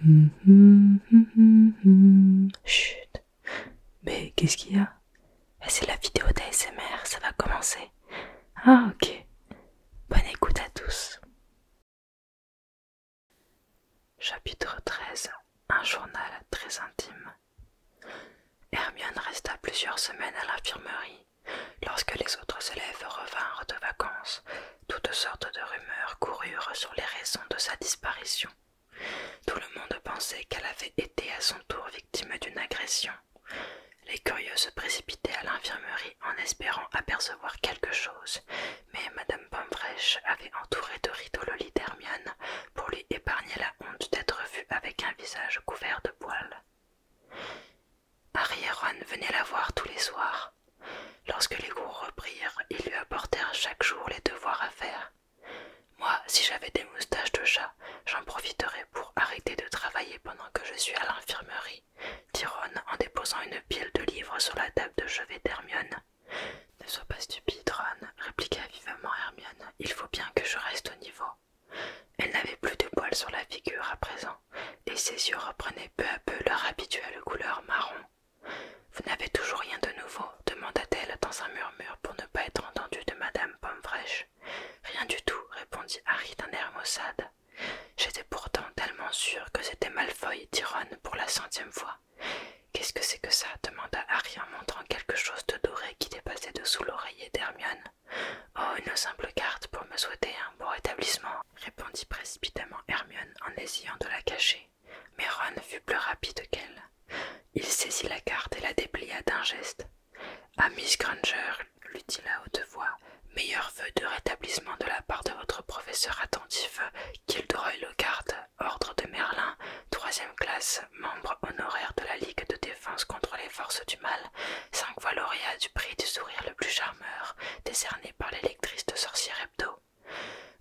Mm-hmm, mm-hmm, mm-hmm. Chut Mais qu'est-ce qu'il y a eh, C'est la vidéo d'ASMR, ça va commencer. Ah ok. Bonne écoute à tous. Chapitre 13. Un journal très intime. Hermione resta plusieurs semaines à l'infirmerie. Lorsque les autres élèves revinrent de vacances, toutes sortes de rumeurs coururent sur les raisons de sa disparition. Tout le monde pensait qu'elle avait été à son tour victime d'une agression. Les curieux se précipitaient à l'infirmerie en espérant apercevoir quelque chose, mais Madame Pomfresh avait entouré de rideaux lit pour lui épargner la honte d'être vue avec un visage couvert de poils. Harry et Ron venaient la voir tous les soirs. Lorsque les cours reprirent, ils lui apportèrent chaque jour les devoirs à faire. Moi, si j'avais des moustaches de chat, j'en profiterais pour arrêter de travailler pendant que je suis à l'infirmerie, dit Ron en déposant une pile de livres sur la table de chevet d'Hermione. Ne sois pas stupide, Ron, répliqua vivement Hermione. Il faut bien que je reste au niveau. Elle n'avait plus de poils sur la figure à présent, et ses yeux reprenaient peu à peu leur habituelle couleur marron. Vous n'avez toujours rien de nouveau demanda-t-elle dans un murmure pour ne pas être entendue de Madame Pomme-Fraîche. Rien du tout, répondit Harry d'un air maussade. J'étais pourtant tellement sûre que c'était Malfoy et Tyrone pour la centième fois. Qu'est-ce que c'est que ça demanda Harry en montrant quelque chose de doré qui dépassait dessous l'oreiller d'Hermione. Oh, une simple carte pour me souhaiter un. Hein. » rétablissement, répondit précipitamment Hermione en essayant de la cacher. Mais Ron fut plus rapide qu'elle. Il saisit la carte et la déplia d'un geste. À Miss Granger, lui dit à haute voix, meilleur vœu de rétablissement de la part de votre professeur attentif, kildroy Lockhart, ordre de Merlin, troisième classe, membre honoraire de la Ligue de défense contre les forces du mal, cinq fois lauréat du prix du sourire le plus charmeur, décerné par l'électrice de sorcière Hebdo.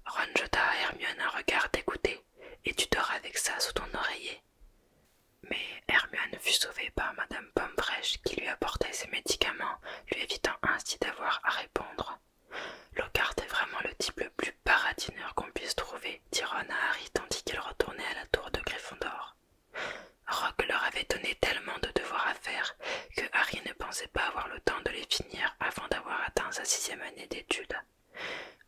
Ron jeta à Hermione un regard dégoûté, et tu dors avec ça sous ton oreiller. Mais Hermione fut sauvée par madame Pomme-Fraîche qui lui apportait ses médicaments, lui évitant ainsi d'avoir à répondre. Locarte est vraiment le type le plus paradineur qu'on puisse trouver, dit Ron à Harry tandis qu'il retournait à la tour de Gryffondor. Rock leur avait donné tellement de devoirs à faire que Harry ne pensait pas avoir le temps de les finir avant d'avoir atteint sa sixième année d'études.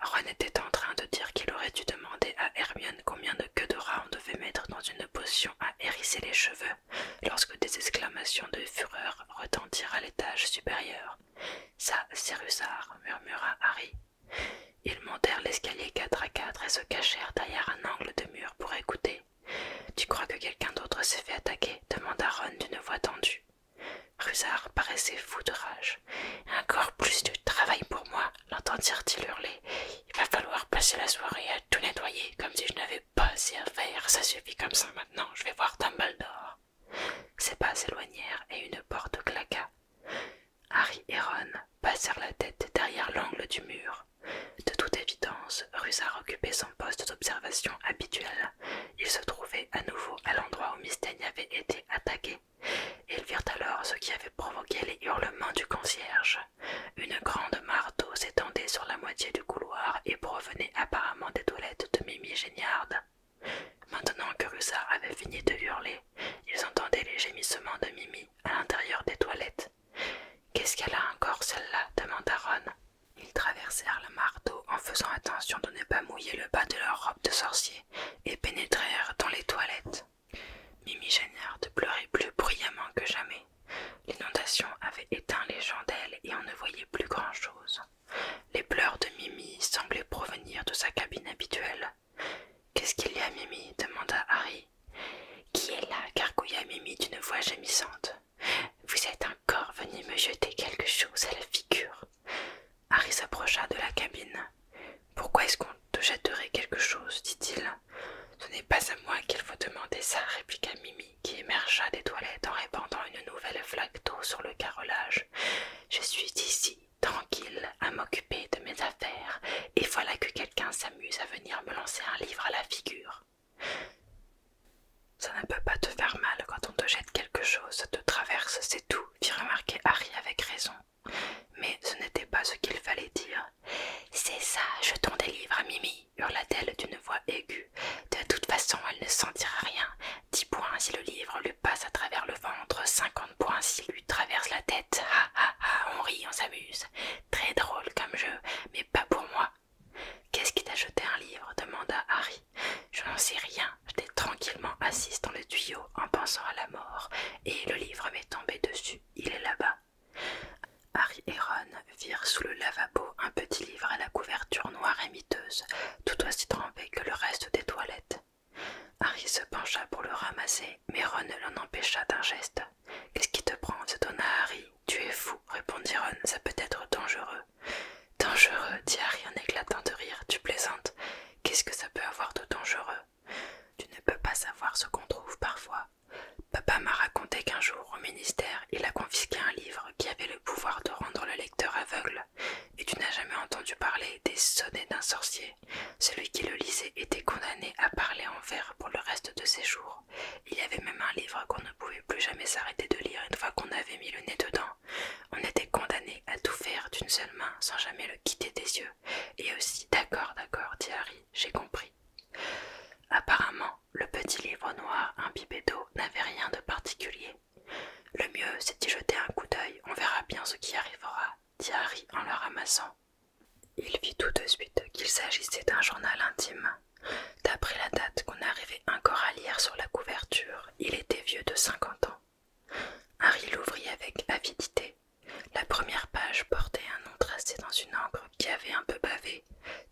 Ron était en train de dire qu'il aurait dû demander à Hermione combien de queues de rats on devait mettre dans une potion à hérisser les cheveux lorsque des exclamations de fureur retentirent à l'étage supérieur. Ça, c'est Rusard, murmura Harry. Ils montèrent l'escalier quatre à quatre et se cachèrent derrière un angle de mur pour écouter. Tu crois que quelqu'un d'autre s'est fait attaquer demanda Ron d'une voix tendue. Rusard paraissait fou de rage. Encore plus de travail pour moi, l'entendirent-ils hurler. Il va falloir passer la soirée à tout nettoyer, comme si je n'avais pas assez à faire. Ça suffit comme ça maintenant, je vais voir d'or. Ses pas s'éloignèrent et une porte claqua. Harry et Ron passèrent la tête derrière l'angle du mur. De toute évidence, Rusard occupait son poste d'observation habituel. Il se trouvait à nouveau à l'endroit où Mistaigne avait été attaqué. Ils virent alors ce qui avait provoqué les hurlements du concierge. Une grande marteau s'étendait sur la moitié du couloir et provenait apparemment des toilettes de Mimi geignarde Maintenant que Russard avait fini de hurler, ils entendaient les gémissements de Mimi à l'intérieur des toilettes. Qu'est-ce qu'elle a encore, celle-là demanda Ron. Ils traversèrent le marteau en faisant attention de ne pas mouiller le bas de leur robe de sorcier et pénétrèrent dans les toilettes. Mimi de pleurait plus bruyamment que jamais. L'inondation avait éteint les chandelles et on ne voyait plus grand-chose. Les pleurs de Mimi semblaient provenir de sa cabine habituelle. Qu'est-ce qu'il y a, Mimi demanda Harry. Qui est là gargouilla Mimi d'une voix gémissante. Vous êtes un corps venu me jeter quelque chose à la figure. Harry s'approcha de la cabine. Pourquoi est-ce qu'on te jetterait quelque chose dit-il. Ce n'est pas à moi qu'il faut demander ça, répliqua Mimi, qui émergea des toilettes en répandant une nouvelle flaque d'eau sur le carrelage. Je suis ici, tranquille, à m'occuper de mes affaires, et voilà que quelqu'un s'amuse à venir me lancer un livre à la figure. Ça ne peut pas te faire mal quand on te jette quelque chose, ça te traverse, c'est tout, fit remarquer Harry avec raison. Mais ce n'était pas ce qu'il fallait dire. C'est ça, jetons des livres à Mimi, hurla-t-elle d'une voix aiguë. De toute façon, elle ne sentira rien. Dix points si le livre lui passe à travers le ventre, cinquante points s'il lui traverse la tête. Ha ha ha, on rit, on s'amuse. Très drôle comme jeu, mais pas pour moi. Qu'est-ce qui t'a jeté un livre demanda Harry. Je n'en sais rien. J'étais tranquillement assise dans le tuyau en pensant à la mort, et le livre m'est tombé dessus. Il est là-bas. Harry et Ron virent sous le lavabo un petit livre à la couverture noire et miteuse, tout aussi trempé que le reste des toilettes. Harry se pencha pour le ramasser, mais Ron l'en empêcha d'un geste. Qu'est-ce qui te prend se donna Harry. Tu es fou, répondit Ron, ça peut être dangereux. Dangereux, dit Harry en éclatant de rire. Tu plaisantes. Qu'est-ce que ça peut avoir de dangereux Tu ne peux pas savoir ce qu'on trouve parfois. Papa m'a raconté qu'un jour, au ministère, il a confisqué un livre qui avait le pouvoir de rendre le lecteur aveugle. Et tu n'as jamais entendu parler des sonnets d'un sorcier. Celui qui le lisait était condamné à parler en vers pour le reste de ses jours. Il y avait même un livre qu'on ne pouvait plus jamais s'arrêter de lire une fois qu'on avait mis le nez dedans. On était condamné à tout faire d'une seule main sans jamais le quitter des yeux. Et aussi, d'accord, d'accord, dit Harry, j'ai compris. Apparemment, le petit livre noir imbibé d'eau n'avait rien de particulier. Le mieux, c'est d'y jeter un coup d'œil, on verra bien ce qui arrivera, dit Harry en le ramassant. Il vit tout de suite qu'il s'agissait d'un journal intime, D'après la date qu'on arrivait encore à lire sur la couverture, il était vieux de cinquante ans. Harry l'ouvrit avec avidité. La première page portait un nom tracé dans une encre qui avait un peu bavé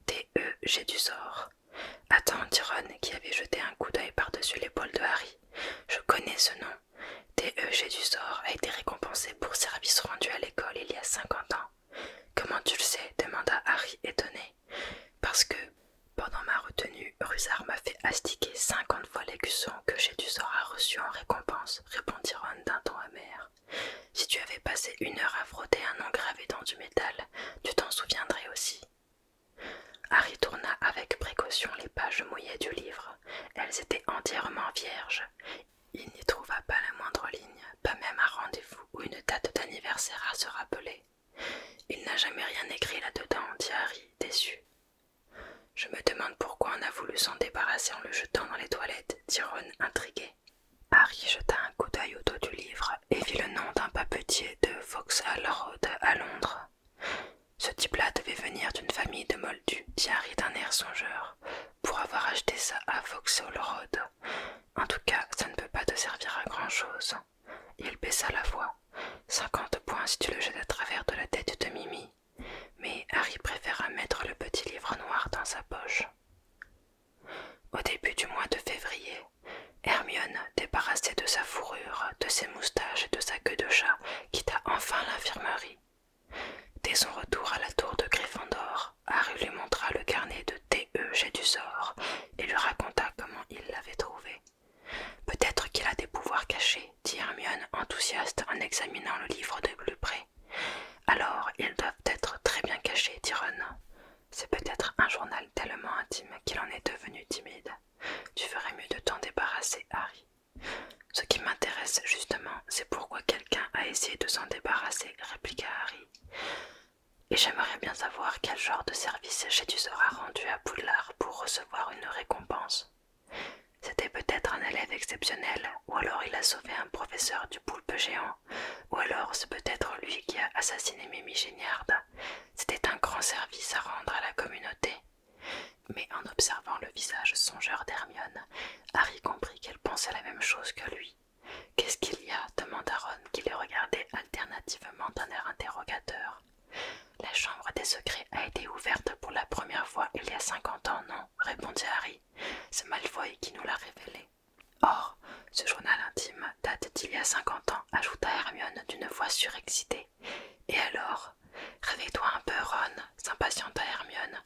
T.E.G. du sort. Attends, dit qui avait jeté un coup d'œil par-dessus l'épaule de Harry. Je connais ce nom. T.E.G. du sort a été récompensé pour service rendu à l'école il y a cinquante ans. Comment tu le sais demanda Harry étonné parce que pendant ma retenue, Rusard m'a fait astiquer cinquante fois les que sort aura reçu en récompense, répondit Ron d'un ton amer. Si tu avais passé une heure à frotter un nom gravé dans du métal, tu t'en souviendrais aussi. Harry tourna avec précaution les pages mouillées du livre. Elles étaient entièrement vierges. Il n'y trouva pas la moindre ligne, pas même un rendez-vous ou une date d'anniversaire à se rappeler. Il n'a jamais rien écrit là-dedans, dit Harry, déçu. Je me demande pourquoi on a voulu s'en débarrasser en le jetant dans les toilettes, dit Ron, intrigué. Harry jeta un coup d'œil au dos du livre et vit le nom d'un papetier de Vauxhall Road à Londres. Ce type-là devait venir d'une famille de moldus, dit Harry d'un air songeur, pour avoir acheté ça à Vauxhall Road. En tout cas, ça ne peut pas te servir à grand-chose. Il baissa la voix. Cinquante points si tu le jettes à travers de la tête de Mimi. Mais Harry préféra mettre le petit livre noir dans sa poche. Au début du mois de février, Hermione, débarrassée de sa fourrure, de ses moustaches et de sa queue de chat, quitta enfin l'infirmerie. Dès son retour à la tour de Gryffondor, Harry lui montra le carnet de TE j'ai du sort et lui raconta comment il l'avait trouvé. Peut-être qu'il a des pouvoirs cachés, dit Hermione, enthousiaste en examinant le livre de plus Alors ils doivent être très bien cachés, dit Ron. C'est peut-être un journal tellement intime qu'il en est devenu timide. Tu ferais mieux de t'en débarrasser, Harry. Ce qui m'intéresse justement, c'est pourquoi quelqu'un a essayé de s'en débarrasser, répliqua Harry et j'aimerais bien savoir quel genre de service Jésus aura rendu à Poudlard pour recevoir une récompense. C'était peut-être un élève exceptionnel, ou alors il a sauvé un professeur du poulpe géant, ou alors c'est peut-être lui qui a assassiné Mimi C'était un grand service à rendre à la communauté. Mais en observant le visage songeur d'Hermione, Harry comprit qu'elle pensait la même chose que lui. Qu'est-ce qu'il y a demanda Ron qui les regardait alternativement d'un air interrogateur. La chambre des secrets a été ouverte pour la première fois il y a cinquante ans, non répondit Harry. C'est Malfoy qui nous l'a révélé. Or, ce journal intime date d'il y a cinquante ans, ajouta Hermione d'une voix surexcitée. Et alors Réveille-toi un peu, Ron, s'impatienta Hermione.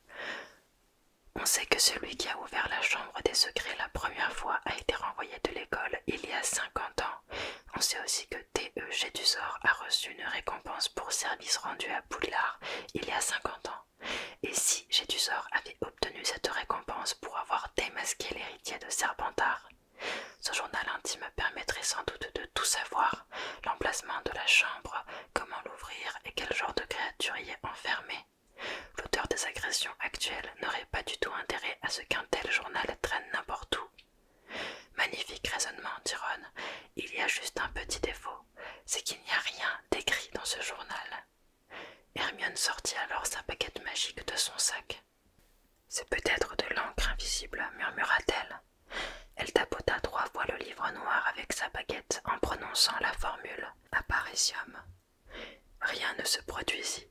On sait que celui qui a ouvert la chambre des secrets la première fois a été renvoyé de il y a 50 ans. On sait aussi que T.E. du a reçu une récompense pour service rendu à Poudlard il y a 50 ans. Et si G. avait obtenu cette récompense pour avoir démasqué l'héritier de Serpentard ce journal intime permettrait sans doute de tout savoir, l'emplacement de la chambre, comment l'ouvrir et quel genre de créature y est enfermée. L'auteur des agressions actuelles n'aurait pas du tout intérêt à ce qu'un tel journal traîne n'importe où. Magnifique raisonnement, Tyrone. Il y a juste un petit défaut, c'est qu'il n'y a rien d'écrit dans ce journal. Hermione sortit alors sa baguette magique de son sac. C'est peut-être de l'encre invisible, murmura-t-elle. Elle tapota trois fois le livre noir avec sa baguette en prononçant la formule apparition ». Rien ne se produisit.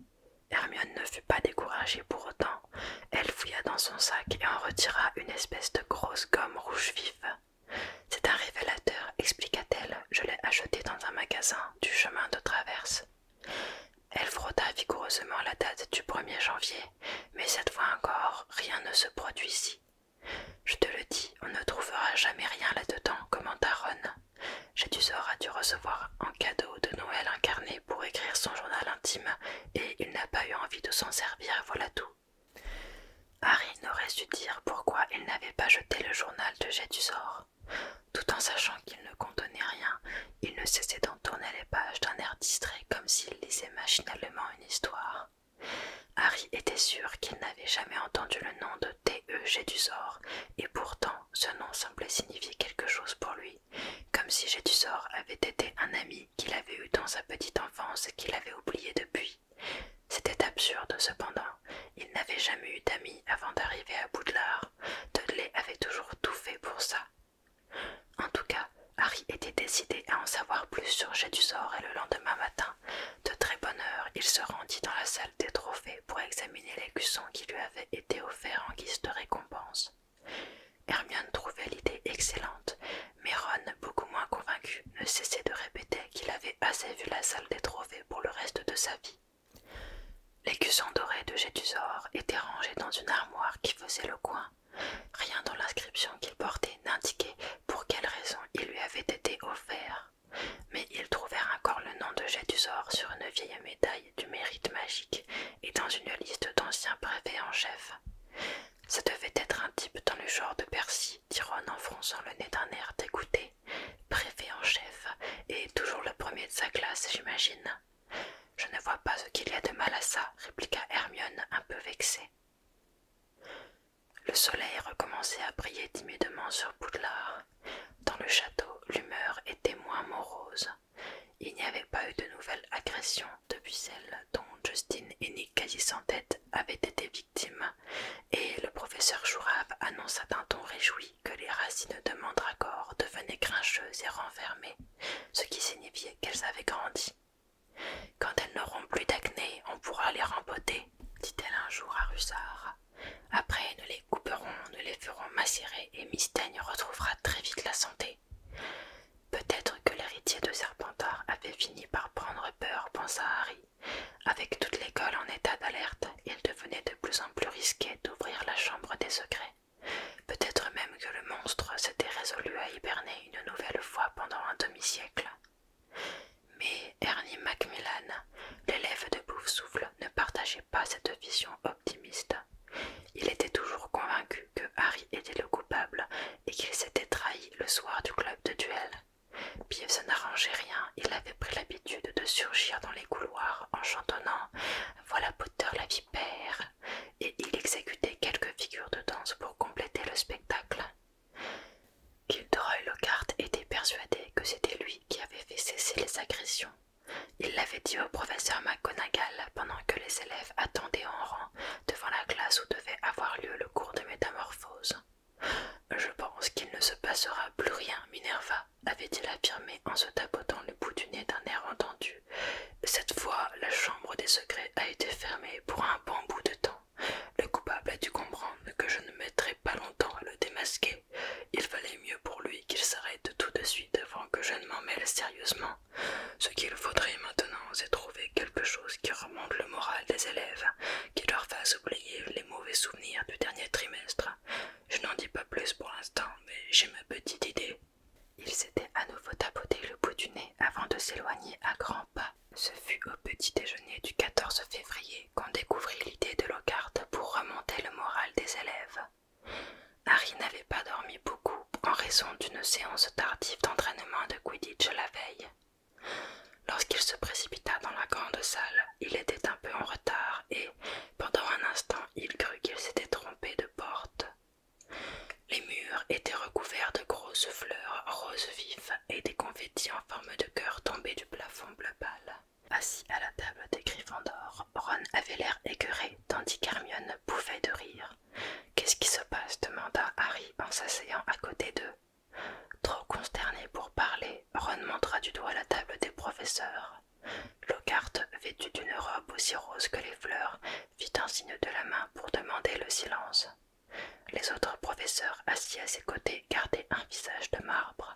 Hermione ne fut pas découragée pour autant. Elle fouilla dans son sac et en retira une espèce de grosse gomme rouge vif. « C'est un révélateur, expliqua-t-elle. Je l'ai acheté dans un magasin du chemin de traverse. Elle frotta vigoureusement la date du 1er janvier, mais cette fois encore, rien ne se produisit. Je te le dis, on ne trouvera jamais rien là-dedans, commenta Ron. Jétus a dû recevoir un cadeau de Noël incarné pour écrire son journal intime et il n'a pas eu envie de s'en servir, voilà tout. Harry n'aurait su dire pourquoi il n'avait pas jeté le journal de Jétusor. Tout en sachant qu'il ne contenait rien, il ne cessait d'en tourner les pages d'un air distrait comme s'il lisait machinalement une histoire. Harry était sûr qu'il n'avait jamais entendu le nom de T.E. Jétusor, et pourtant ce nom semblait signifier quelque chose pour lui, comme si Gédusor avait été un ami qu'il avait eu dans sa petite enfance et qu'il avait oublié depuis. C'était absurde cependant, il n'avait jamais eu d'amis avant d'arriver à Boudelard, Dudley avait toujours tout fait pour ça. En tout cas, Harry était décidé à en savoir plus sur Gédusor et le lendemain matin, de très bonne heure, il se rendit dans la salle des trophées pour examiner les qui lui avaient été offerts en guise de récompense. Hermione trouvait l'idée excellente, mais Ron, beaucoup moins convaincu, ne cessait de répéter qu'il avait assez vu la salle des trophées pour le reste de sa vie. Les doré dorés de Jetusor étaient rangés dans une armoire qui faisait le coin. Rien dans l'inscription qu'il portait n'indiquait pour quelle raison il lui avait été offert mais ils trouvèrent encore le nom de jet sur une vieille médaille du mérite magique et dans une liste d'anciens préfets en chef. Ça devait être un type dans le genre de Percy, dit Ron en fronçant le nez d'un air dégoûté. Préfet en chef, et toujours le premier de sa classe, j'imagine. Je ne vois pas ce qu'il y a de mal à ça, répliqua Hermione, un peu vexée. Le soleil recommençait à briller timidement sur Poudlard. Dans le château, l'humeur était moins morose. Il n'y avait pas eu de nouvelle agression depuis celle dont Justine et Nick, quasi sans tête, avaient été victimes, et le professeur Jourave annonça d'un ton réjoui que les racines de Mandragor devenaient grincheuses et renfermées, ce qui signifiait qu'elles avaient grandi. Quand elles n'auront plus d'acné, on pourra les rempoter, dit-elle un jour à Rusard. Après, nous les couperons, nous les ferons macérer et Mistaigne retrouvera très vite la santé. Peut-être que l'héritier de Serpentard avait fini par prendre peur, pensa Harry. Avec toute l'école en état d'alerte, il devenait de plus en plus risqué d'ouvrir la chambre des secrets. Peut-être même que le monstre s'était résolu à hiberner une nouvelle fois pendant un demi-siècle. Mais Ernie Macmillan, l'élève de bouffe ne partageait pas cette vision optimiste. Il était toujours convaincu que Harry était le coupable et qu'il s'était trahi le soir du club de duel. ça n'arrangeait rien, il avait pris l'habitude de surgir dans les couloirs en chantonnant « Voilà Potter la vipère !» et il exécutait quelques figures de danse pour compléter le spectacle. Gilderoy Lockhart était persuadé que c'était lui qui avait fait cesser les agressions il l'avait dit au professeur McGonagall pendant que les élèves attendaient en rang devant la classe où devait avoir lieu le cours de métamorphose. Je pense qu'il ne se passera plus rien, Minerva, avait-il affirmé en se tapotant le bout du nez d'un air entendu. Cette fois, la chambre des secrets a été fermée pour un bon bout de temps. Le coupable a dû comprendre que je ne mettrai pas longtemps à le démasquer il fallait mieux pour lui qu'il s'arrête tout de suite avant que je ne m'en mêle sérieusement. Ce qu'il faudrait maintenant, c'est trouver quelque chose qui remonte le moral des élèves, qui leur fasse oublier les mauvais souvenirs du dernier trimestre. Je n'en dis pas plus pour l'instant, mais j'ai ma petite idée. Il s'était à nouveau tapoté le bout du nez avant de s'éloigner à grands pas. Ce fut au petit déjeuner du 14 février qu'on découvrit l'idée de Lockhart pour remonter le moral des élèves. Harry n'avait pas dormi beaucoup en raison d'une séance tardive d'entraînement de Quidditch la veille. Lorsqu'il se précipita dans la grande salle, il était un peu en retard et, pendant un instant, il crut qu'il s'était trompé de porte. Les murs étaient recouverts de grosses fleurs roses vives et des confettis en forme de cœur tombés du plafond bleu pâle. Assis à la table des griffandors, Ron avait l'air écœuré, tandis qu'Hermione bouffait de rire. Qu'est-ce qui se passe demanda Harry en s'asseyant à côté d'eux. Trop consterné pour parler, Ron montra du doigt la table des professeurs. Lockhart, vêtu d'une robe aussi rose que les fleurs, fit un signe de la main pour demander le silence. Les autres professeurs assis à ses côtés gardaient un visage de marbre.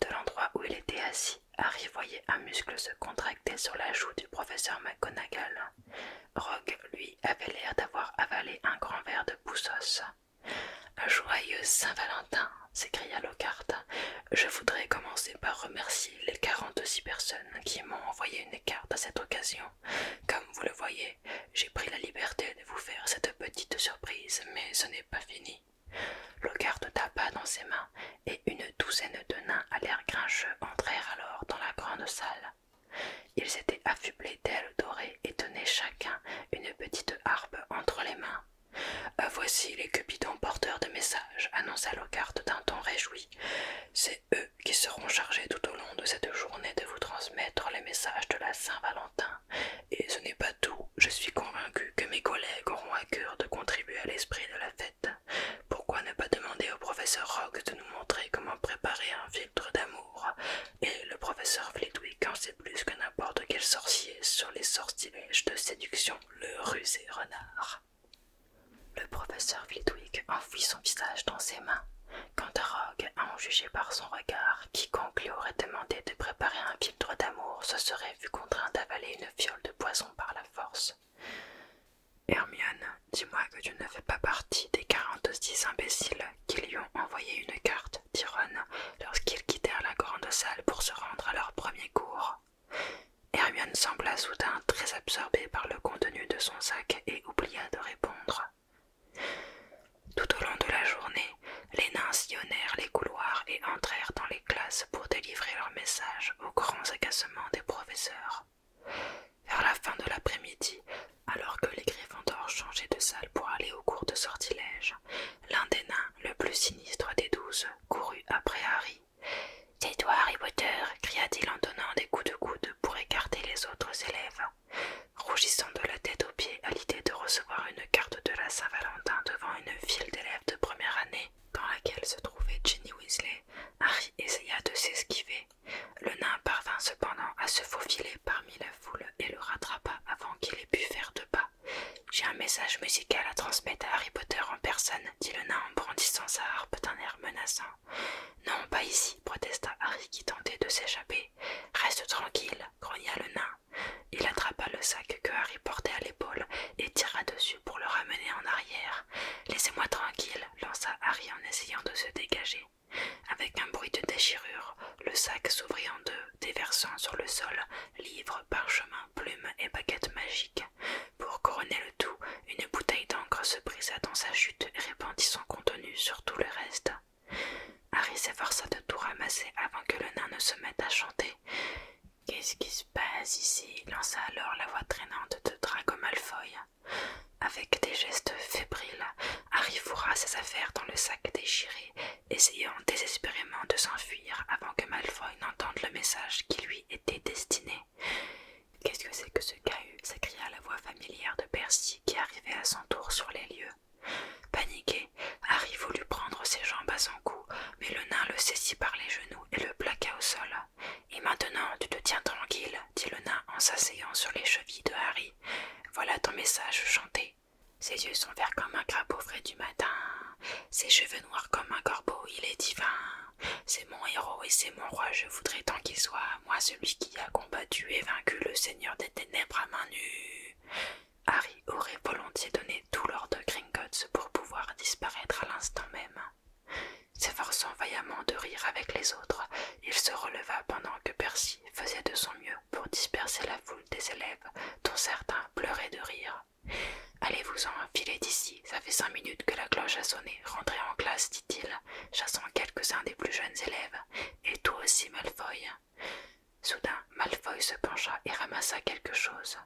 De l'endroit où il était assis, Harry voyait un muscle se contracter sur la joue du professeur McGonagall. Rogue, lui, avait l'air d'avoir avalé un grand verre de poussos. Joyeux Saint-Valentin s'écria Lockhart. Je voudrais commencer par remercier les quarante-six personnes qui m'ont envoyé une carte à cette occasion. Comme vous le voyez, j'ai pris la liberté de vous faire cette petite surprise, mais ce n'est pas fini locarte tapa dans ses mains et une douzaine de nains à l'air grincheux entrèrent alors dans la grande salle. Ils étaient affublés d'ailes dorées et tenaient chacun une petite harpe entre les mains. Euh, voici les cupidons porteurs de messages, annonça le d'un ton réjoui. C'est eux qui seront chargés tout au long de cette journée de vous transmettre les messages de la Saint-Valentin. Et ce n'est pas tout, je suis convaincu que mes collègues auront à cœur de contribuer à l'esprit de la fête. Pourquoi ne pas demander au professeur Rogue de nous montrer comment préparer un filtre d'amour Et le professeur Flitwick en sait plus que n'importe quel sorcier sur les sortilèges de séduction, le rusé renard. Le professeur Flitwick enfouit son visage dans ses mains. Quant à Rogue, à en juger par son regard, quiconque lui aurait demandé de préparer un filtre d'amour ce serait fut contraint d'avaler une fiole de poison par la force. Hermione, dis-moi que tu ne fais pas partie des quarante-six imbéciles qui lui ont envoyé une carte, dit lorsqu'ils quittèrent la grande salle pour se rendre à leur premier cours. Hermione sembla soudain très absorbée par le contenu de son sac et oublia de répondre. Tout au long de la journée, les nains sillonnèrent les couloirs et entrèrent dans les pour délivrer leur message aux grands agacements des professeurs. Vers la fin de l'après-midi, alors que les d'or changeaient de salle pour aller au cours de sortilège, l'un des nains, le plus sinistre des douze, courut après Harry. «« toi, Harry Potter !» cria-t-il en donnant des coups de coude pour écarter les autres élèves. Rougissant de la tête aux pieds à l'idée de recevoir une carte de la Saint-Valentin devant une file d'élèves de première année, dans laquelle se trouvait Ginny Weasley, Harry essaya de s'esquiver. Le nain parvint cependant à se faufiler parmi la foule et le rattrapa avant qu'il ait pu faire de pas. J'ai un message musical à transmettre à Harry Potter en personne, dit le nain en brandissant sa harpe d'un air menaçant. Non, pas ici, protesta Harry qui tentait de s'échapper. Reste tranquille, grogna le nain il attrapa le sac que Harry portait à l'épaule et tira dessus pour le ramener en arrière. Laissez-moi tranquille, lança Harry en essayant de se dégager. Avec un bruit de déchirure, le sac s'ouvrit en deux, déversant sur le sol livres, parchemins, plumes et baguettes magiques. Pour couronner le tout, une bouteille d'encre se brisa dans sa chute et répandit son contenu sur tout le reste. Harry s'efforça de tout ramasser avant que le nain ne se mette à chanter. Qu'est-ce qui se passe ici lança alors la voix traînante de Drago Malfoy. Avec des gestes fébriles, Harry fourra ses affaires dans le sac déchiré, essayant désespérément de s'enfuir avant que Malfoy n'entende le message qui lui était destiné. Qu'est-ce que c'est que ce cahut s'écria la voix familière de Percy qui arrivait à son tour sur les lieux. Paniqué, Harry voulut prendre ses jambes à son cou, mais le nain le saisit par les genoux et le plaqua au sol. Et maintenant, tu te tiens tranquille, dit le nain en s'asseyant sur les chevilles de Harry. Voilà ton message chanté. Ses yeux sont verts comme un crapaud frais du matin. Ses cheveux noirs comme un corbeau, il est divin. C'est mon héros et c'est mon roi, je voudrais tant qu'il soit, moi celui qui a combattu et vaincu le seigneur des ténèbres à main nue. Harry aurait volontiers donné tout l'or de Gringotts pour pouvoir disparaître à l'instant même. S'efforçant vaillamment de rire avec les autres, il se releva pendant que Percy faisait de son mieux pour disperser la foule des élèves, dont certains pleuraient de rire. Allez-vous-en, filez d'ici, ça fait cinq minutes que la cloche a sonné, rentrez en classe, dit-il, chassant quelques-uns des plus jeunes élèves, et toi aussi, Malfoy. Soudain, Malfoy se pencha et ramassa quelque chose.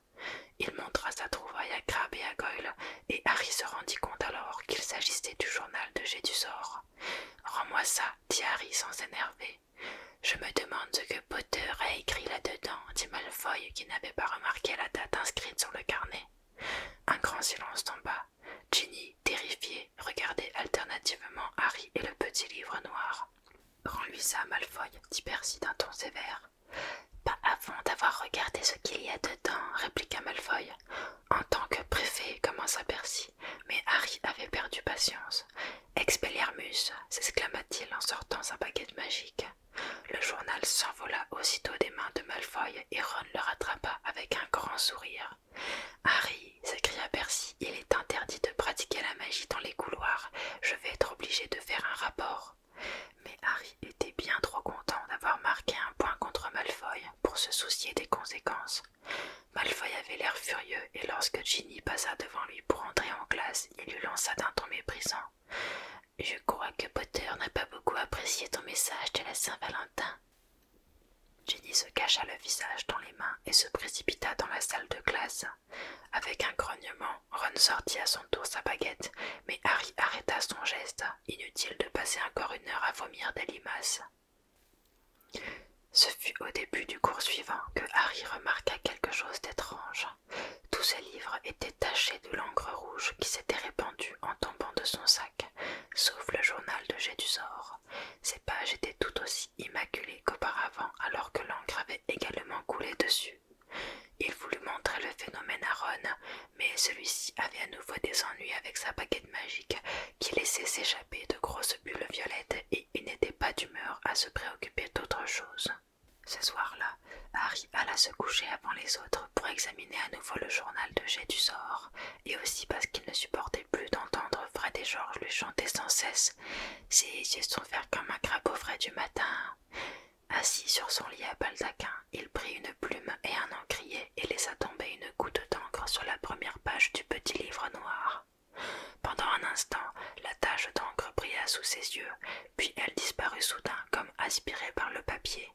Il montra sa trouvaille à Crabbe et à Goyle, et Harry se rendit compte alors qu'il s'agissait du journal de Gédusor. Rends-moi ça, dit Harry sans s'énerver. Je me demande ce que Potter a écrit là-dedans, dit Malfoy, qui n'avait pas remarqué la date inscrite sur le carnet. Un grand silence tomba. Ginny, terrifiée, regardait alternativement Harry et le petit livre noir. Rends-lui ça, Malfoy, dit Percy d'un ton sévère. Pas avant d'avoir regardé ce qu'il y a dedans, répliqua Malfoy. En tant que préfet, commença Percy, mais Harry avait perdu patience. Expelliarmus s'exclama-t-il en sortant sa baguette magique. Le journal s'envola aussitôt des mains de Malfoy et Ron le rattrapa avec un grand sourire. Harry, s'écria Percy, il est interdit de pratiquer la magie dans les couloirs. Je vais être obligé de faire un rapport mais Harry était bien trop content d'avoir marqué un point contre Malfoy pour se soucier des conséquences. Malfoy avait l'air furieux et lorsque Ginny passa devant lui pour entrer en classe, il lui lança d'un ton méprisant. Je crois que Potter n'a pas beaucoup apprécié ton message de la Saint-Valentin. Ginny se cacha le visage dans les mains et se précipita dans la salle de classe. Avec un grognement, Ron sortit à son tour sa baguette, mais Harry arrêta son geste. Inutile de passer encore une heure à vomir des limaces. Ce fut au début du cours suivant que Harry remarqua quelque chose d'étrange. Tous ses livres étaient tachés de l'encre rouge qui s'était répandue en tombant de son sac, sauf le journal de Gédusor. Ses pages étaient tout aussi immaculées qu'auparavant, alors que l'encre avait également coulé dessus. Il voulut montrer le phénomène à Ron, mais celui-ci avait à nouveau des ennuis avec sa baguette magique qui laissait s'échapper de grosses bulles violettes et il n'était pas d'humeur à se préoccuper d'autre chose. Ce soir-là, Harry alla se coucher avant les autres pour examiner à nouveau le journal de jet du sort, et aussi parce qu'il ne supportait plus d'entendre Fred et George lui chanter sans cesse si yeux sont verts comme un crapaud frais du matin. Assis sur son lit à baldaquin, il prit une plume et un encrier et laissa tomber une goutte d'encre sur la première page du petit livre noir. Pendant un instant, la tache d'encre brilla sous ses yeux, puis elle disparut soudain comme aspirée par le papier.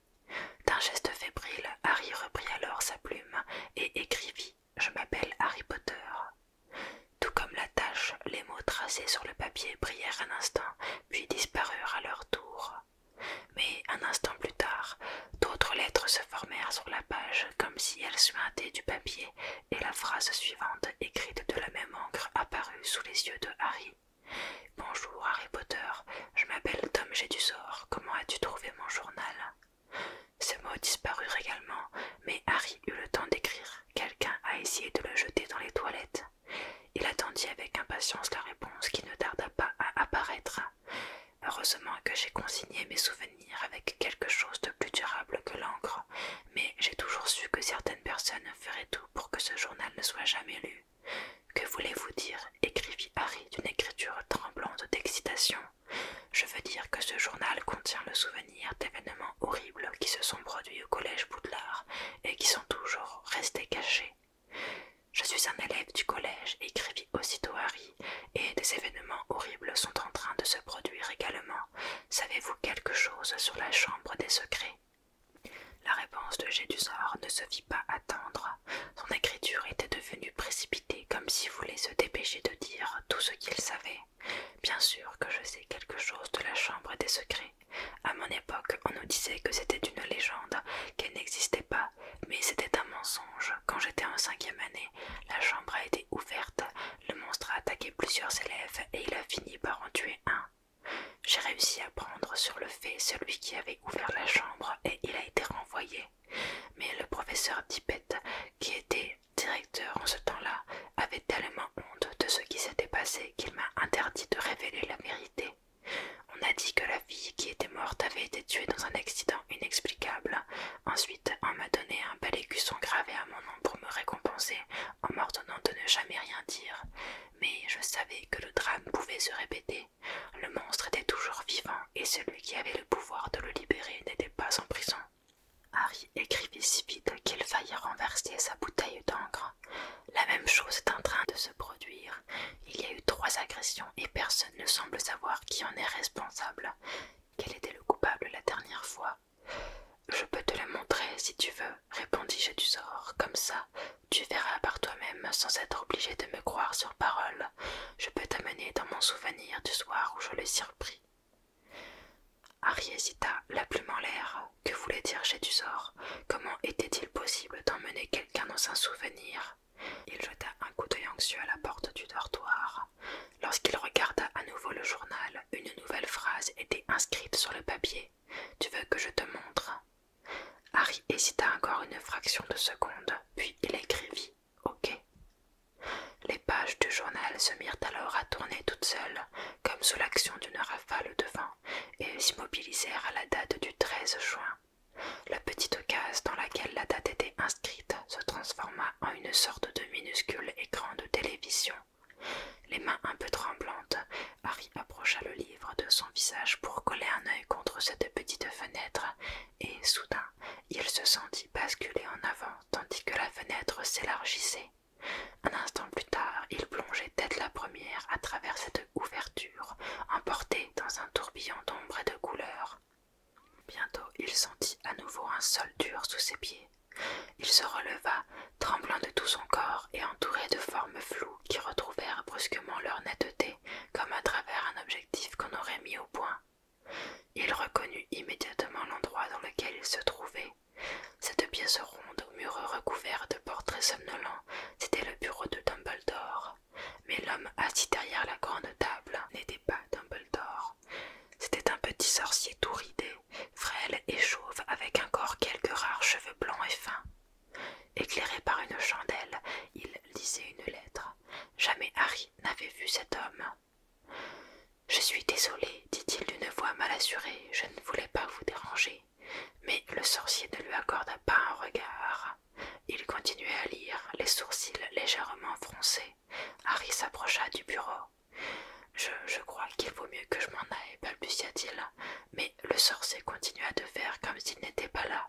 D'un geste fébrile, Harry reprit alors sa plume et écrivit Je m'appelle Harry Potter. Tout comme la tâche, les mots tracés sur le papier brillèrent un instant, puis disparurent à leur tour. Mais un instant plus tard, d'autres lettres se formèrent sur la page comme si elles suintaient du papier, et la phrase suivante, écrite de la même encre, apparut sous les yeux de Harry. Bonjour Harry Potter, je m'appelle Tom Jedusor. comment as-tu trouvé mon journal Ces mots disparurent également, mais Harry eut le temps d'écrire. Quelqu'un a essayé de le jeter dans les toilettes. Il attendit avec impatience la réponse qui ne tarda pas à apparaître. Heureusement que j'ai consigné mes souvenirs avec quelque chose de plus durable que l'encre, mais j'ai toujours su que certaines personnes feraient tout pour que ce journal ne soit jamais lu. Que voulez-vous dire écrivit Harry d'une écriture tremblante d'excitation. Je veux dire que ce journal contient le souvenir d'événements horribles qui se sont produits au collège Boudelard et qui sont toujours restés cachés. Je suis un élève du collège, écrivit aussitôt Harry, et des événements horribles sont en train de se produire également. Savez-vous quelque chose sur la chambre des secrets La réponse de Gédusor ne se fit pas attendre. Son écriture était devenue précipitée, comme s'il voulait se dépêcher de dire tout ce qu'il savait. Bien sûr que je sais quelque chose de la chambre des secrets, à mon époque, on nous disait que c'était une légende, qu'elle n'existait pas, mais c'était un mensonge. Quand j'étais en cinquième année, la chambre a été ouverte, le monstre a attaqué plusieurs élèves et il a fini par en tuer un. J'ai réussi à prendre sur le fait celui qui avait ouvert la chambre et il a été renvoyé. Mais le professeur Dippet, qui était directeur en ce temps-là, avait tellement honte de ce qui s'était passé qu'il m'a interdit de révéler la vérité. On a dit que la fille qui était morte avait été tuée dans un accident inexplicable. Ensuite, on m'a donné un bel écusson gravé à mon nom pour me récompenser en m'ordonnant de ne jamais rien dire. Mais je savais que le drame pouvait se répéter. Le monstre était toujours vivant et celui qui avait le pouvoir de le libérer n'était pas en prison. Harry écrivit si vite qu'il faillit renverser sa bouteille d'encre la même chose est en train de se produire. Il y a eu trois agressions et personne ne semble savoir qui en est responsable. Quel était le coupable la dernière fois Je peux te le montrer si tu veux, du sort. Comme ça, tu verras par toi-même sans être obligé de me croire sur parole. Je peux t'amener dans mon souvenir du soir où je l'ai surpris. Harry hésita, la plume en l'air. Que voulait dire sort, Comment était-il possible d'emmener quelqu'un dans un souvenir Il jeta un coup d'œil anxieux à la porte du dortoir. Lorsqu'il regarda à nouveau le journal, une nouvelle phrase était inscrite sur le papier. Tu veux que je te montre Harry hésita encore une fraction de seconde, puis il écrivit OK. Les pages du journal se mirent alors à tourner toutes seules, comme sous l'action d'une le devant et s'immobilisèrent à la date du 13 juin. La petite case dans laquelle la date était inscrite se transforma en une sorte de minuscule écran de télévision. Les mains un peu tremblantes, Harry approcha le livre de son visage pour coller un œil contre cette petite fenêtre, et soudain il se sentit basculer en avant tandis que la fenêtre s'élargissait. Un instant plus tard, il plongeait tête la première à travers cette ouverture, emporté dans un tourbillon d'ombre et de couleurs. Bientôt, il sentit à nouveau un sol dur sous ses pieds. Il se releva, tremblant de tout son corps et entouré de formes floues qui retrouvèrent brusquement leur netteté, comme à travers un objectif qu'on aurait mis au point. Il reconnut immédiatement l'endroit dans lequel il se trouvait, cette pièce ronde aux murs recouverts de portraits somnolents, c'était le bureau de Dumbledore. Mais l'homme assis derrière la grande table n'était pas Dumbledore. C'était un petit sorcier tout ridé, frêle et chauve, avec encore quelques rares cheveux blancs et fins. Éclairé par une chandelle, il lisait une lettre. Jamais Harry n'avait vu cet homme. Je suis désolé, dit-il d'une voix mal assurée, je ne voulais pas vous déranger mais le sorcier ne lui accorda pas un regard. Il continuait à lire, les sourcils légèrement froncés. Harry s'approcha du bureau. Je, crois qu'il vaut mieux que je m'en aille, balbutia-t-il, mais le sorcier continua de faire comme s'il n'était pas là.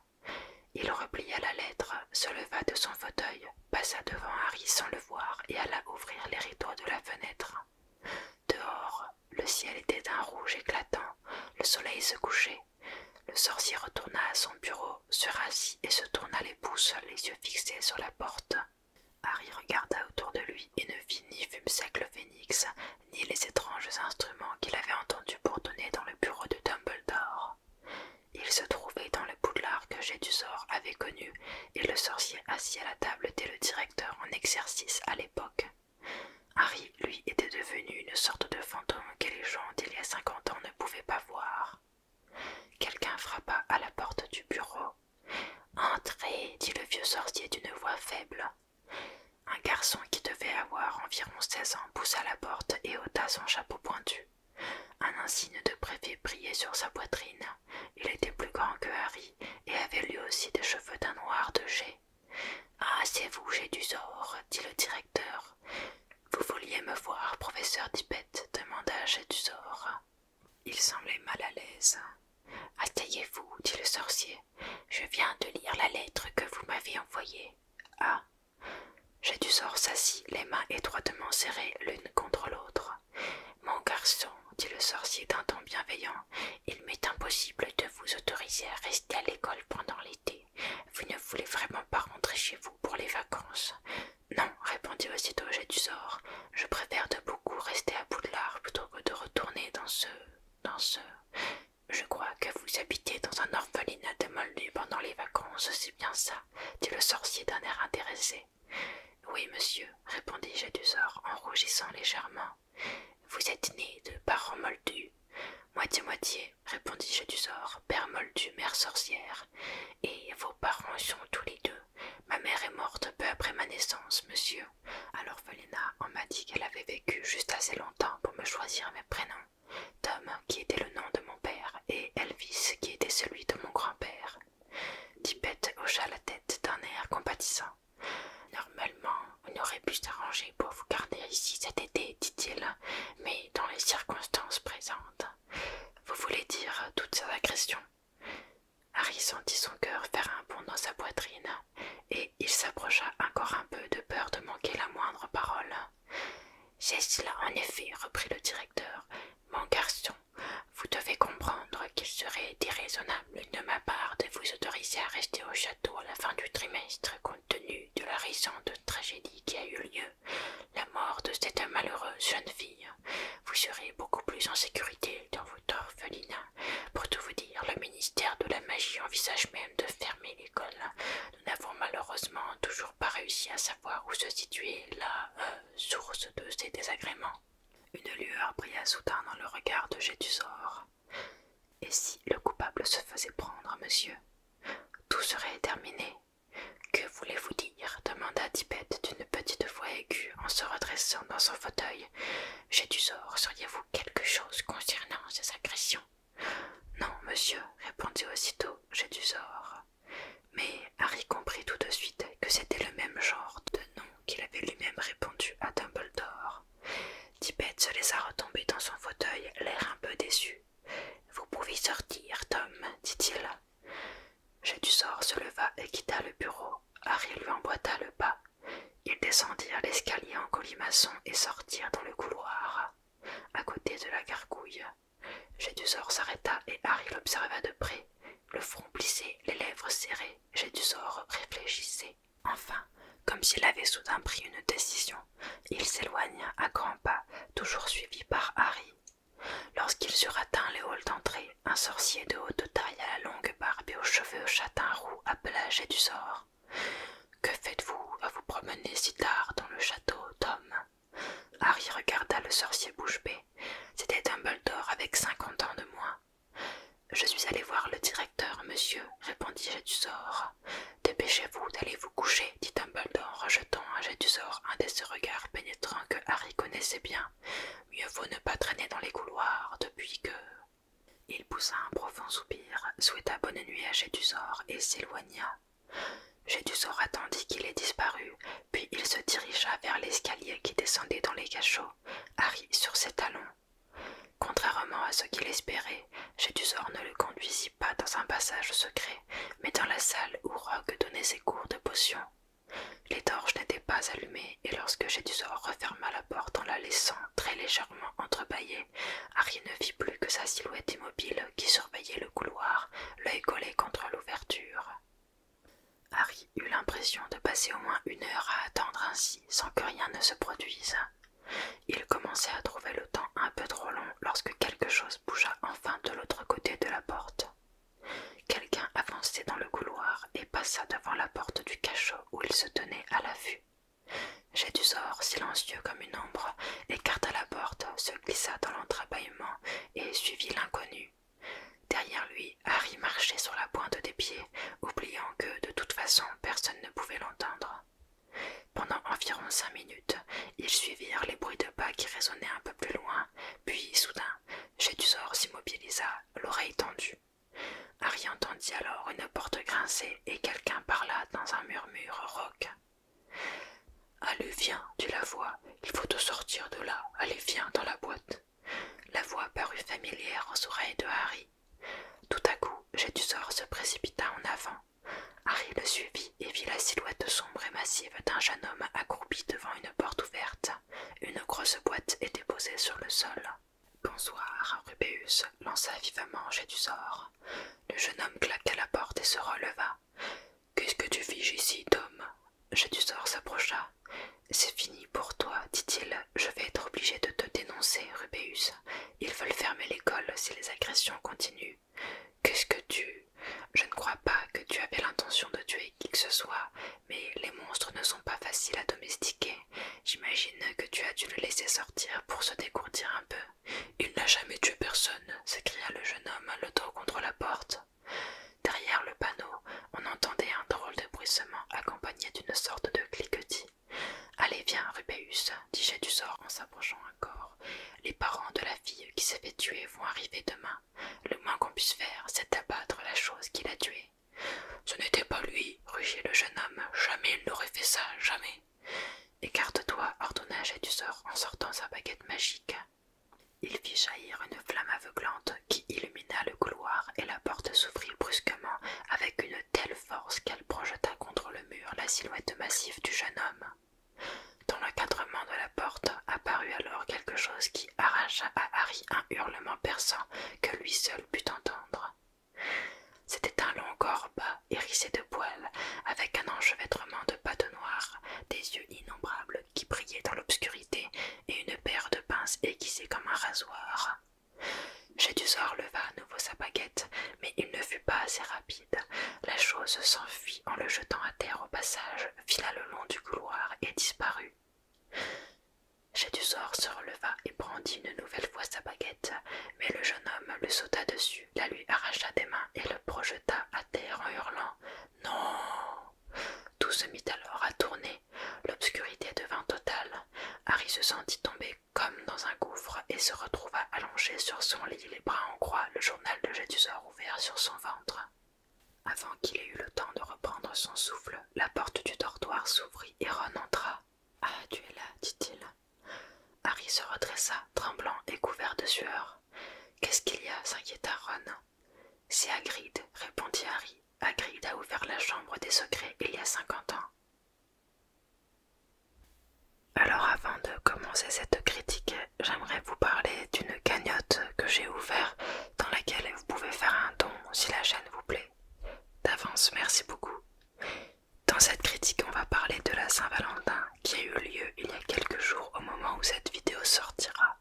Il replia la lettre, se leva de son fauteuil, passa devant Harry sans le voir et alla ouvrir les rideaux de la fenêtre. Dehors, le ciel était d'un rouge éclatant, le soleil se couchait. Le sorcier retourna à son bureau, se rassit et se tourna les pouces, les yeux fixés sur la porte. Harry regarda autour de lui et ne vit ni Fumsec le phénix, ni les étranges instruments qu'il avait entendus bourdonner dans le bureau de Dumbledore. Il se trouvait dans le boudoir que Gédusor avait connu, et le sorcier assis à la table était le directeur en exercice à l'époque. Harry, lui, était devenu une sorte de fantôme que les gens d'il y a cinquante ans ne pouvaient pas voir. Quelqu'un frappa à la porte du bureau. Entrez, dit le vieux sorcier d'une voix faible. Un garçon qui devait avoir environ seize ans poussa la porte et ôta son chapeau pointu. Un insigne de préfet brillait sur sa poitrine il était plus grand que Harry et avait lui aussi des cheveux d'un noir de jet. Ah, c'est vous, j'ai du dit le directeur. Vous vouliez me voir, professeur Dipette, demanda Gédusor. Il semblait mal à l'aise. Asseyez-vous, dit le sorcier. Je viens de lire la lettre que vous m'avez envoyée. Ah Gédusor s'assit, les mains étroitement serrées l'une contre l'autre. Mon garçon, dit le sorcier d'un ton bienveillant, il m'est impossible de vous autoriser à rester à l'école pendant l'été. Vous ne voulez vraiment pas rentrer chez vous pour les vacances. Non, répondit aussitôt Jet je préfère de beaucoup rester à l'arbre plutôt que de retourner dans ce. dans ce. Je crois que vous habitez dans un orphelinat de Moldu pendant les vacances, c'est bien ça, dit le sorcier d'un air intéressé. Oui, monsieur, répondit Jedusor en rougissant légèrement. Vous êtes né de parents moldus, moitié-moitié, répondit je père moldu, mère sorcière, et vos parents sont tous les deux. Ma mère est morte peu après ma naissance, monsieur. Alors l'orphelinat, on m'a dit qu'elle avait vécu juste assez longtemps pour me choisir mes prénoms. Tom, qui était le nom de mon père, et Elvis, qui était celui de mon grand-père. Tipette hocha la tête d'un air compatissant. Normalement, on aurait pu s'arranger pour vous garder ici cet été, dit-il, mais dans les circonstances présentes. Vous voulez dire toutes ces agressions Harry sentit son cœur faire un bond dans sa poitrine, et il s'approcha encore un peu de peur de manquer la moindre parole. C'est cela en effet, reprit le directeur. Mon garçon, vous devez comprendre qu'il serait déraisonnable l'une de ma part de vous autoriser à rester au château à la fin du trimestre, compte tenu de la récente tragédie qui a eu lieu, la mort de cette malheureuse jeune fille. Vous serez beaucoup plus en sécurité dans votre orphelinat. Pour tout vous dire, le ministère de la Magie envisage même de fermer l'école. Nous n'avons malheureusement toujours pas réussi à savoir où se situait la euh, source de ces désagréments. Une lueur brilla soudain dans le regard de sort Et si le coupable se faisait prendre, monsieur Tout serait terminé. Que voulez-vous dire demanda Tibette d'une petite voix aiguë en se redressant dans son fauteuil. sort, sauriez-vous quelque chose concernant ces agressions Non, monsieur, répondit aussitôt sort Mais Harry comprit tout de suite que c'était le même genre de nom qu'il avait lui-même répondu à Dumbledore. Tibet se laissa retomber dans son fauteuil, l'air un peu déçu. Vous pouvez sortir, Tom, dit-il. J'ai se leva et quitta le bureau. Harry lui emboîta le pas. Ils descendirent l'escalier en colimaçon et sortirent dans le couloir, à côté de la gargouille. sort s'arrêta et Harry l'observa de près, le front plissé, les lèvres serrées. sort réfléchissait enfin, comme s'il avait soudain pris une décision, il s'éloigna à grands pas, toujours suivi par Harry. Lorsqu'ils eurent atteint les halls d'entrée, un sorcier de haute taille à la longue barbe et aux cheveux châtain roux du sort. « Que faites-vous à vous promener si tard dans le château, Tom Harry regarda le sorcier bouche bée. C'était Dumbledore avec cinquante ans de moins. Je suis allé voir le directeur, monsieur, répondit Jedusor. Dépêchez-vous d'aller vous coucher, dit Dumbledore en rejetant à un de ces regards pénétrants que Harry connaissait bien. Mieux vaut ne pas traîner dans les couloirs depuis que. Il poussa un profond soupir, souhaita bonne nuit à Jedusor et s'éloigna. Jedusor attendit qu'il ait disparu, puis il se dirigea vers l'escalier qui descendait dans les cachots, Harry sur ses talons, Contrairement à ce qu'il espérait, Jedusor ne le conduisit pas dans un passage secret, mais dans la salle où Rogue donnait ses cours de potions. Les torches n'étaient pas allumées, et lorsque Jedusor referma la porte en la laissant très légèrement entrebâillée, Harry ne vit plus que sa silhouette immobile qui surveillait le couloir, l'œil collé contre l'ouverture. Harry eut l'impression de passer au moins une heure à attendre ainsi sans que rien ne se produise. Il commençait à trouver le temps un peu trop long lorsque quelque chose bougea enfin de l'autre côté de la porte. Quelqu'un avançait dans le couloir et passa devant la porte du cachot où il se tenait à l'affût. sort, silencieux comme une ombre, écarta la porte, se glissa dans l'entrebâillement et suivit l'inconnu. Derrière lui, Harry marchait sur la pointe des pieds, oubliant que, de toute façon, personne ne pouvait l'entendre. Pendant environ cinq minutes, ils suivirent les bruits de pas qui résonnaient un peu plus loin, puis, soudain, Gédusor s'immobilisa, l'oreille tendue. Harry entendit alors une porte grincer et quelqu'un parla dans un murmure rauque. Allez, viens, dit la voix, il faut te sortir de là, allez, viens dans la boîte. La voix parut familière aux oreilles de Harry. Tout à coup, Jet se précipita en avant. Harry le suivit et vit la silhouette sombre et massive d'un jeune homme accroupi devant une porte ouverte. Une grosse boîte était posée sur le sol. Bonsoir, Rubéus lança vivement Jet du Le jeune homme claqua la porte et se releva. Qu'est-ce que tu fiches ici, Tom Jet s'approcha c'est fini pour toi, dit-il. Je vais être obligé de te dénoncer, Rubéus. Ils veulent fermer l'école si les agressions continuent. Qu'est-ce que tu. Je ne crois pas que tu avais l'intention de tuer qui que ce soit, mais les monstres ne sont pas faciles à domestiquer. J'imagine que tu as dû le laisser sortir pour se décourtir un peu. Il n'a jamais tué personne, s'écria le jeune homme, le dos contre la porte. Derrière le panneau, on entendait un drôle de bruissement accompagné d'une sorte de cliquetis. Allez, viens, Rubéus, dit du en s'approchant encore. Les parents de la fille qui s'est fait tuer vont arriver demain. Le moins qu'on puisse faire, c'est d'abattre la chose qui l'a tuée. Ce n'était pas lui, rugit le jeune homme. Jamais il n'aurait fait ça, jamais. Écarte-toi, ordonna du en sortant sa baguette magique. Il fit jaillir une flamme aveuglante qui illumina le couloir et la porte s'ouvrit brusquement avec une telle force qu'elle projeta contre le mur la silhouette massive du jeune homme. Dans l'encadrement de la porte apparut alors quelque chose qui arracha à Harry un hurlement perçant que lui seul put entendre. C'était un long corps bas, hérissé de poils, avec un enchevêtrement de pattes noires, des yeux innombrables qui brillaient dans l'obscurité et une paire de pinces aiguisées comme un rasoir. Gédusor leva à nouveau sa baguette, mais il ne fut pas assez rapide. La chose s'enfuit en le jetant à terre au passage, fila le long du couloir et disparut. sort se releva et brandit une nouvelle fois sa baguette, mais le jeune homme le sauta dessus, la lui arracha des mains et le projeta à terre en hurlant Non Tout se mit alors à tourner, l'obscurité devint totale, Harry se sentit tomber comme dans un gouffre et se retrouva allongé sur son lit, les bras en croix, le journal de jésus ouvert sur son ventre. Avant qu'il ait eu le temps de reprendre son souffle, la porte du dortoir s'ouvrit et Ron entra. Ah, tu es là, dit-il. Harry se redressa, tremblant et couvert de sueur. Qu'est-ce qu'il y a s'inquiéta Ron. C'est Hagrid, répondit Harry, Hagrid a ouvert la chambre des secrets il y a 50 ans. Alors avant de commencer cette critique, j'aimerais vous parler d'une cagnotte que j'ai ouverte dans laquelle vous pouvez faire un don si la chaîne vous plaît. D'avance, merci beaucoup. Dans cette critique, on va parler de la Saint-Valentin qui a eu lieu il y a quelques jours au moment où cette vidéo sortira.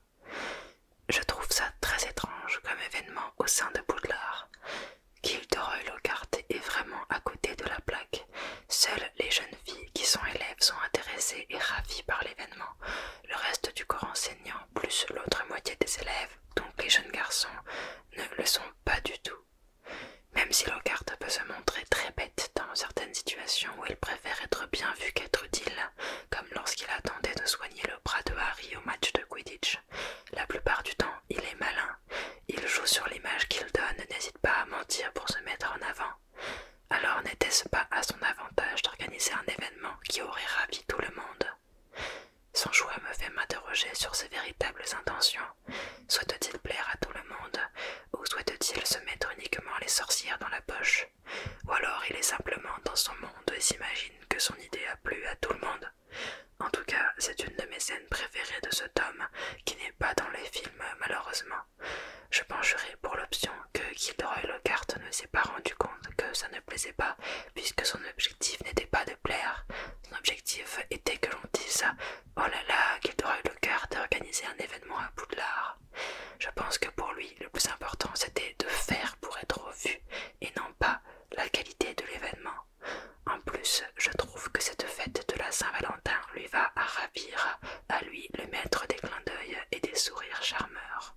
Je trouve ça très étrange comme événement au sein de Bouddhart. Gilderoy Lockhart est vraiment à côté de la plaque. Seules les jeunes filles qui sont élèves sont intéressées et ravies par l'événement. Le reste du corps enseignant, plus l'autre moitié des élèves, donc les jeunes garçons, ne le sont pas du tout. Même si Lockhart peut se montrer très bête dans certaines situations où il préfère être bien vu qu'être utile, comme lorsqu'il attendait de soigner le bras de Harry au match de Quidditch, la plupart du temps, il est malin. Il joue sur l'image qu'il donne, n'hésite pas à mentir pour se mettre en avant. Alors n'était-ce pas à son avantage d'organiser un événement qui aurait ravi tout le monde Son choix me fait m'interroger sur ses véritables intentions. Souhaite-t-il plaire à tout le monde ou souhaite-t-il se mettre uniquement les sorcières dans la poche Ou alors il est simplement dans son monde et s'imagine que son idée a plu à tout le monde en tout cas, c'est une de mes scènes préférées de ce tome, qui n'est pas dans les films malheureusement. Je pencherai pour l'option que Gilderoy Lockhart ne s'est pas rendu compte que ça ne plaisait pas, puisque son objectif n'était pas de plaire. Son objectif était que l'on dise « Oh là là, Gilderoy Lockhart a organisé un événement à l'art ». Je pense que pour lui, le plus important c'était de faire pour être vu, et non pas la qualité de l'événement. En plus, je trouve que cette fête de la Saint-Valentin lui va à ravir, à lui le maître des clins d'œil et des sourires charmeurs.